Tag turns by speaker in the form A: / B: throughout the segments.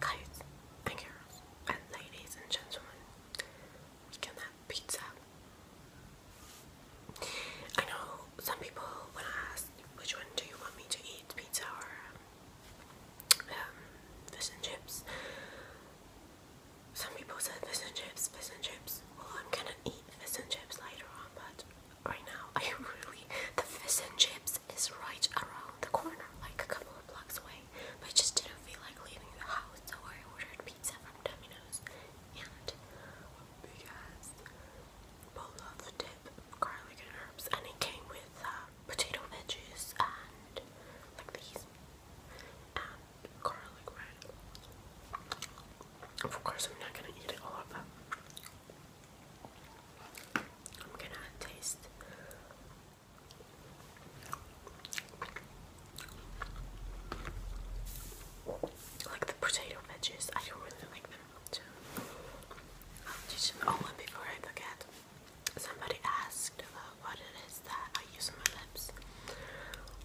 A: Guys and girls and ladies and gentlemen, we can have pizza. I know some people, when I ask which one do you want me to eat, pizza or um, fish and chips, some people said fish and chips, fish and chips. Well, I'm gonna eat fish and chips later on, but right now I really the fish and chips house is right around the corner, like a couple of blocks away. But I just didn't feel like leaving the house, so I ordered pizza from Domino's and a big ass dip, garlic and herbs, and it came with uh, potato veggies and like these and garlic bread. Of course, I'm not gonna eat it all, but I'm gonna taste. Like the potato wedges, I don't really like them much. Oh, before I forget, somebody asked about what it is that I use my lips.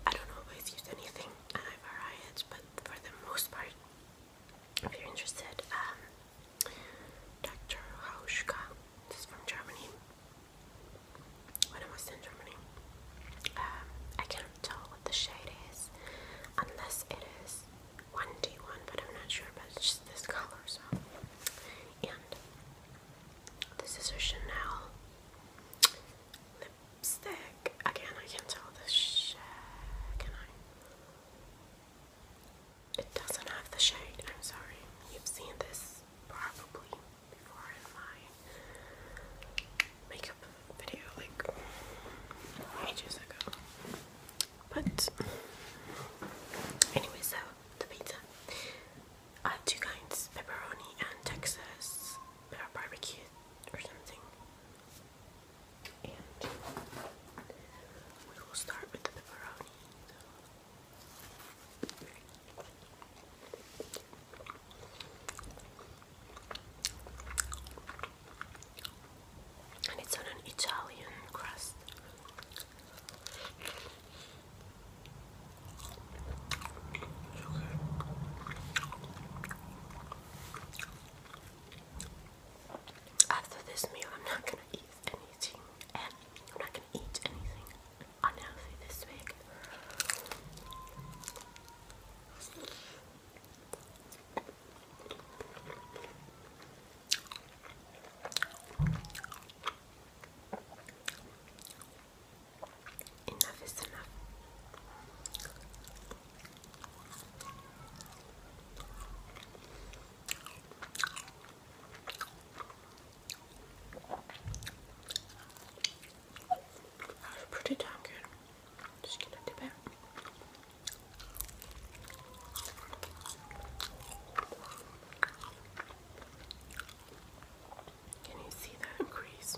A: I don't always use anything, and I vary it, but for the most part, if you're interested, um, Dr. Hauschka, this is from Germany, when I was Germany. Um, I can't tell what the shade is, unless it is 1D1, but I'm not sure, but it's just this color, so. And this is a Chanel lipstick. Again, I can't tell the shade, can I? It doesn't have the shade. I'm sorry. You've seen this probably before in my makeup video like ages ago. But anyway, so the pizza. I had two kinds, pepperoni and Texas uh, barbecue or something. And we will start with the pepperoni. And it's on an Italian crust. After this meal, I'm not gonna eat anything, and I'm not gonna eat anything unhealthy this week. Enough is enough. That's pretty damn good. just gonna dip Can you see that crease?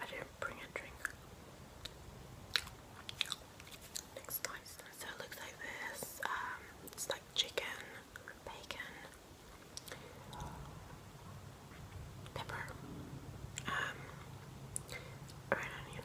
A: I didn't bring a drink. Looks nice. So it looks like this. Um, it's like chicken, bacon, pepper, um, red onion.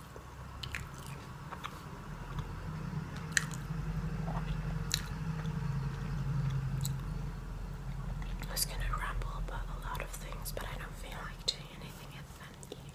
A: I was gonna ramble about a lot of things, but I don't feel like doing anything other than eating.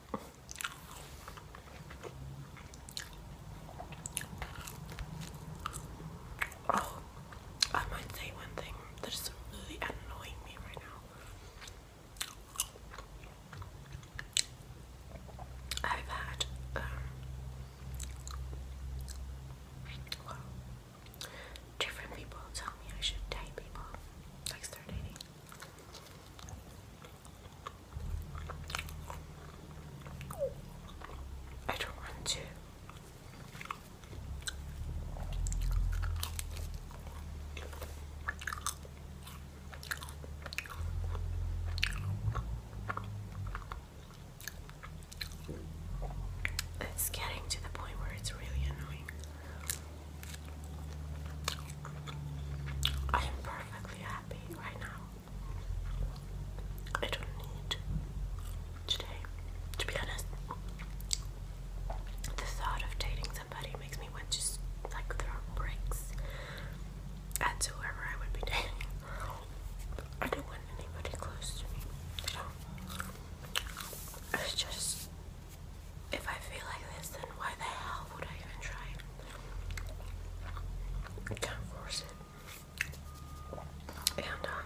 A: Oh, I might say one thing that is really annoying me right now. I've had, um, different people tell me I should date people, like start dating. I don't want to. It's getting to the point where it's really annoying. I am perfectly happy right now. I don't need today. To be honest, the thought of dating somebody makes me want to like throw bricks at whoever I would be dating. I don't want anybody close to me. I just if I feel like this, then why the hell would I even try? can't force it. And, um,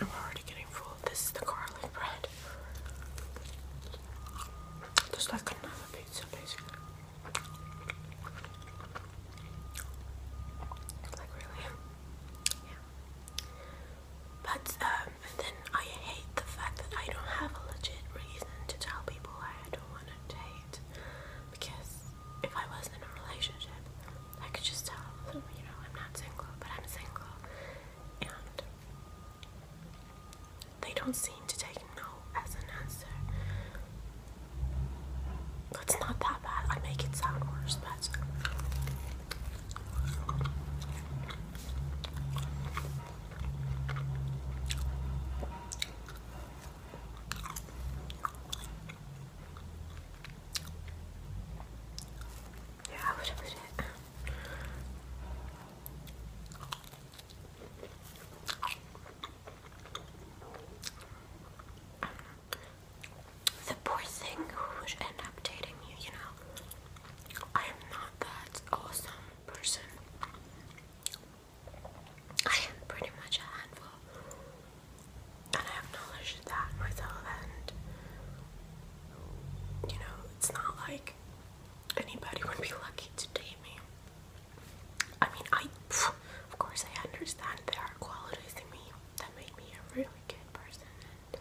A: I'm already getting full. This is the garlic bread. Just like another pizza, basically. Like really, yeah. But um, then I hate the fact that I don't have a legit reason to tell people I don't want to date because if I was in a relationship, I could just tell them, you know, I'm not single, but I'm single, they don't seem to take no as an answer. It's not that bad. I make it sound worse, but yeah, The poor thing would end up dating you, you know. I am not that awesome person. I am pretty much a handful and I acknowledge that myself and you know it's not like anybody would be lucky to date me. I mean I of course I understand there are qualities in me that make me a really good person and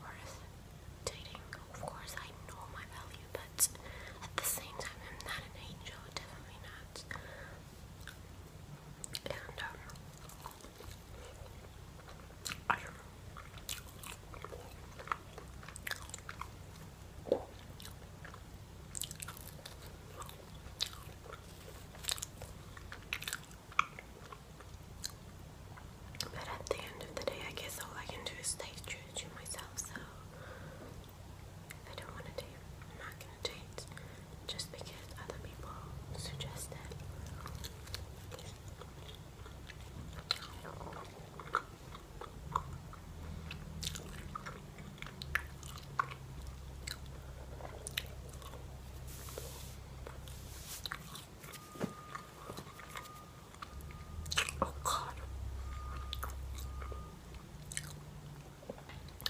A: worth dating. Of course I know my value but at the same time I'm not an angel, definitely not. And um but at the end of the day, I guess all I can do is stay true to myself, so if I don't want to do it, I'm not just because other people suggested. it. Oh, God.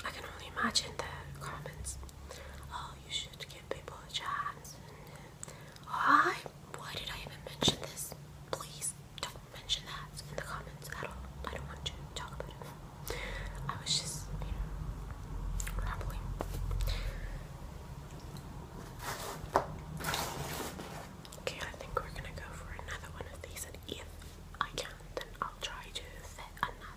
A: I can only imagine the comments. Oh, you should give people a chance. I. Why did I even mention this? Please don't mention that in the comments at all. I don't want you to talk about it. I was just, you know, rambling. Okay, I think we're gonna go for another one of these, and if I can, then I'll try to fit another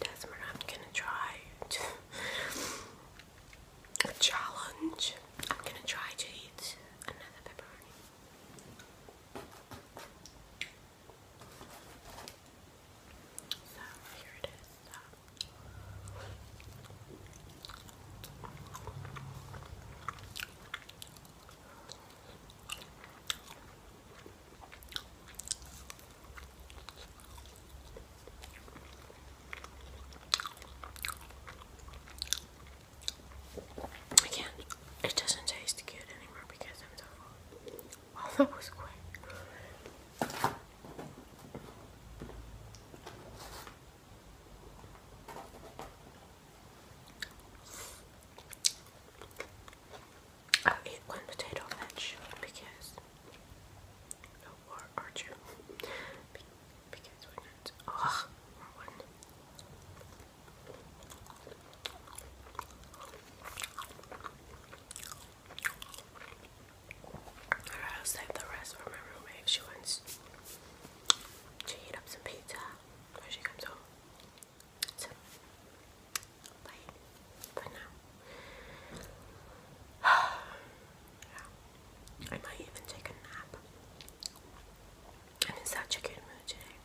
A: Desmond, I'm gonna try to a challenge. I'm gonna try to eat another pepperoni. So here it is. it doesn't taste good anymore because I'm so full. Oh, that was quick. eat one potato wedge because no or archer Be because we're not Alright, I'll save the rest for my roommate. She wants to heat up some pizza when she comes home. So, bye. But now, I might even take a nap. I'm in such a good mood today.